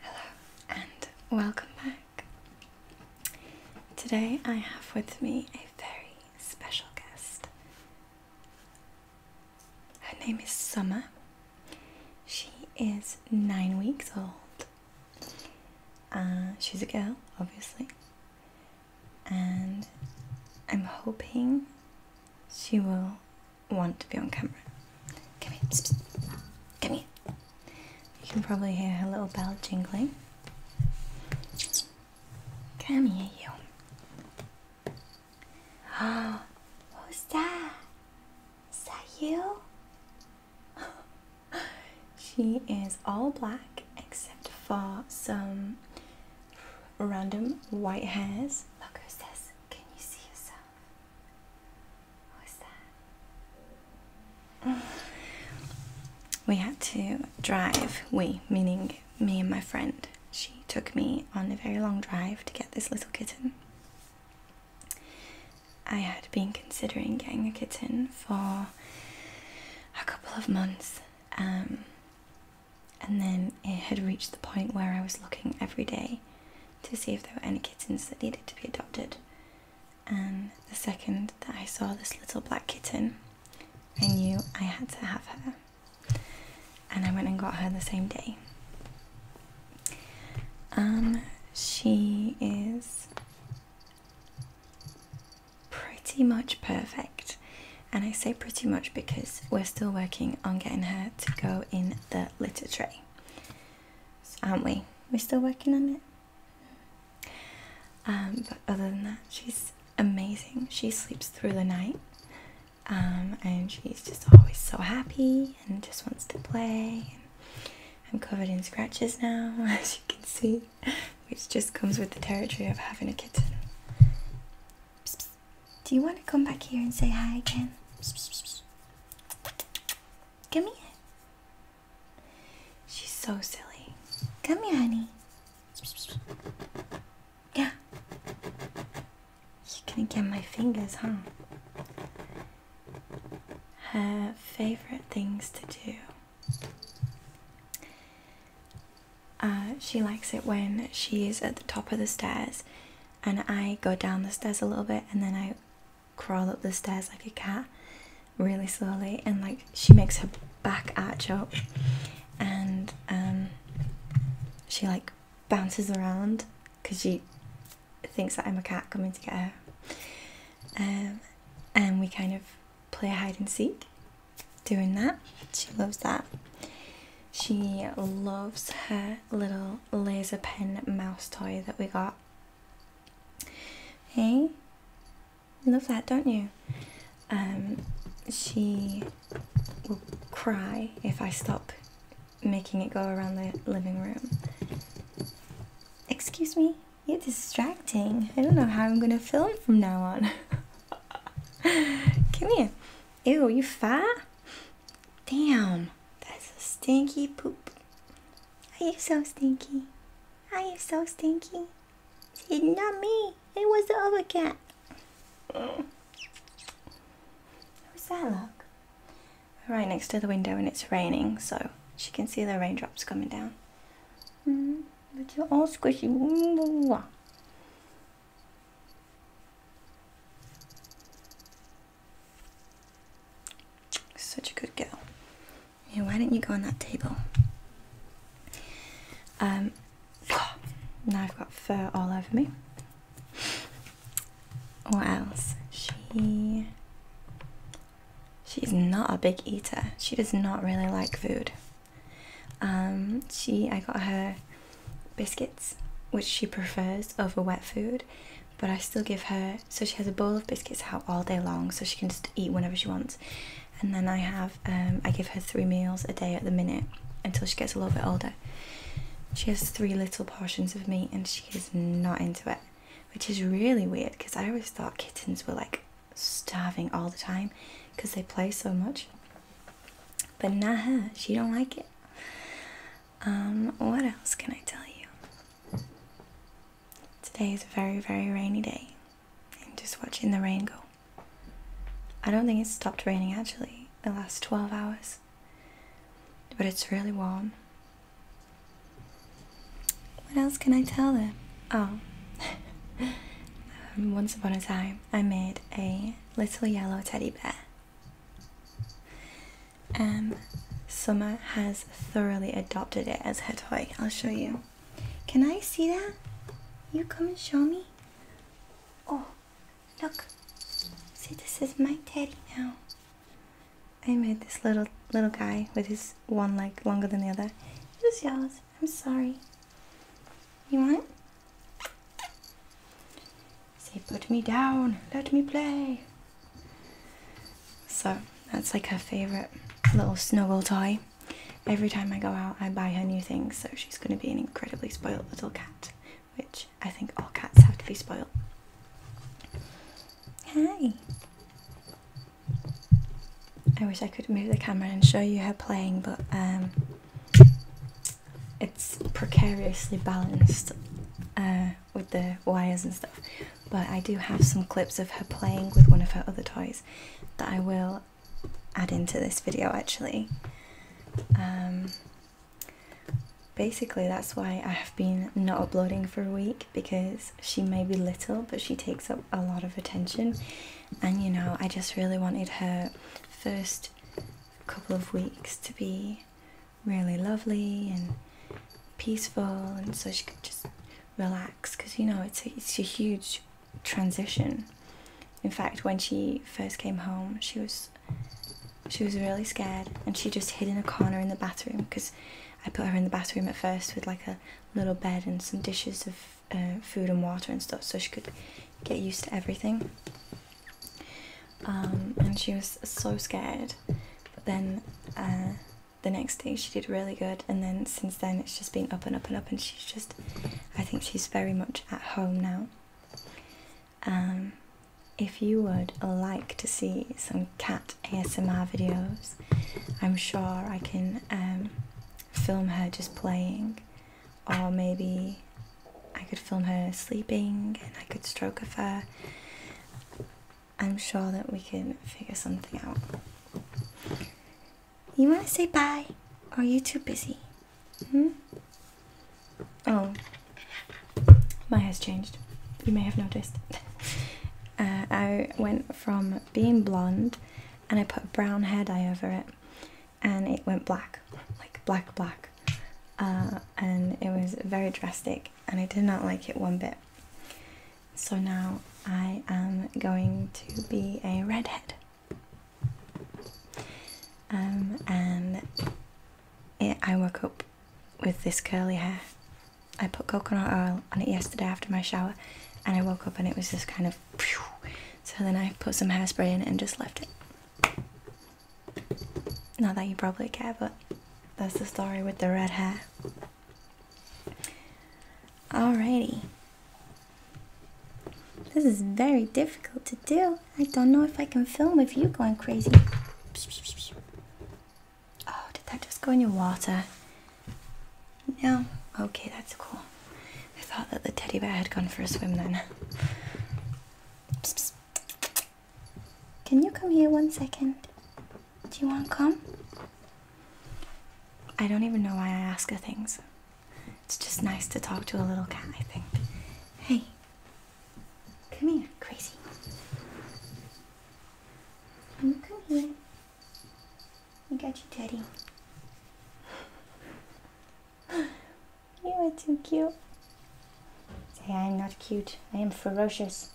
Hello and welcome back. Today I have with me a very special guest. Her name is Summer. She is nine weeks old. Uh, she's a girl, obviously, and I'm hoping she will want to be on camera. Come here. Come here. You can probably hear her little bell jingling. Come here, you. Oh, what was that? Is that you? she is all black except for some random white hairs. Look who's this. Can you see yourself? we had to drive. We, meaning me and my friend. She took me on a very long drive to get this little kitten. I had been considering getting a kitten for a couple of months, um, and then it had reached the point where I was looking every day to see if there were any kittens that needed to be adopted. And the second that I saw this little black kitten, I knew I had to have her. And I went and got her the same day. Um, she is pretty much perfect. And I say pretty much because we're still working on getting her to go in the litter tray aren't we? We're still working on it. Um, but other than that, she's amazing. She sleeps through the night. Um, and she's just always so happy and just wants to play. I'm covered in scratches now, as you can see, which just comes with the territory of having a kitten. Do you want to come back here and say hi again? Come here. She's so silly. Come here, honey. Yeah. You're gonna get my fingers, huh? Her favorite things to do. Uh, she likes it when she is at the top of the stairs and I go down the stairs a little bit and then I crawl up the stairs like a cat really slowly and like she makes her back arch up and um, she like bounces around because she thinks that I'm a cat coming to get her um, and we kind of play hide and seek doing that she loves that she loves her little laser pen mouse toy that we got. Hey, love that, don't you? Um, she will cry if I stop making it go around the living room. Excuse me, you're distracting. I don't know how I'm gonna film from now on. Come here. Ew, you fat? Damn, that's a stinky poop. Are you so stinky? Are you so stinky? It's not me. It was the other cat. What's that look? right next to the window and it's raining, so she can see the raindrops coming down. Mm-hmm. but you're all squishy. Such a good girl. Yeah, why didn't you go on that table? Um, now I've got fur all over me. What else? She. She's not a big eater. She does not really like food. Um, she, I got her biscuits, which she prefers over wet food, but I still give her so she has a bowl of biscuits out all day long so she can just eat whenever she wants. And then I have um, I give her three meals a day at the minute until she gets a little bit older. She has three little portions of meat and she is not into it, which is really weird because I always thought kittens were like starving all the time because they play so much. But nah, she don't like it. Um, what else can I tell you? Today is a very, very rainy day. I'm just watching the rain go. I don't think it's stopped raining actually the last 12 hours. But it's really warm. What else can I tell them? Oh. Um, once upon a time, I made a little yellow teddy bear um, Summer has thoroughly adopted it as her toy. I'll show you. Can I see that? You come and show me. Oh, look. See, this is my teddy now. I made this little little guy with his one leg longer than the other. It was yours. I'm sorry. You want it? Say, put me down, let me play. So that's like her favorite little snowball toy. Every time I go out, I buy her new things, so she's going to be an incredibly spoiled little cat, which I think all cats have to be spoiled. Hi! I wish I could move the camera and show you her playing, but um, it's precariously balanced uh, with the wires and stuff. But I do have some clips of her playing with one of her other toys that I will add into this video actually. Um, basically, that's why I have been not uploading for a week because she may be little, but she takes up a lot of attention. And you know, I just really wanted her first couple of weeks to be really lovely and peaceful, and so she could just relax because you know it's a, it's a huge transition. In fact, when she first came home, she was she was really scared, and she just hid in a corner in the bathroom because I put her in the bathroom at first with like a little bed and some dishes of uh, food and water and stuff, so she could get used to everything. Um, and she was so scared. But then uh, the next day she did really good, and then since then it's just been up and up and up, and she's just, I think she's very much at home now. Um, if you would like to see some cat ASMR videos, I'm sure I can um, film her just playing or maybe I could film her sleeping and I could stroke of fur. I'm sure that we can figure something out. You want to say bye? are you too busy? Hmm? Oh. My hair's changed. You may have noticed. Uh, I went from being blonde and I put brown hair dye over it and it went black, like black, black. Uh, and it was very drastic, and I did not like it one bit. So now I am going to be a redhead. Um, and it, I woke up with this curly hair. I put coconut oil on it yesterday after my shower, and I woke up and it was just kind of. So then I put some hairspray in and just left it. Not that you probably care, but that's the story with the red hair. Alrighty. This is very difficult to do. I don't know if I can film with you going crazy. Oh, did that just go in your water? No? Okay, that's cool. I thought that the teddy bear had gone for a swim then. Can you come here one second? Do you want to come? I don't even know why I ask her things. It's just nice to talk to a little cat, I think. Hey, come here, crazy. Can you come here? You got you, daddy. You are too cute. Say, I am not cute. I am ferocious.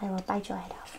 I will bite your head off.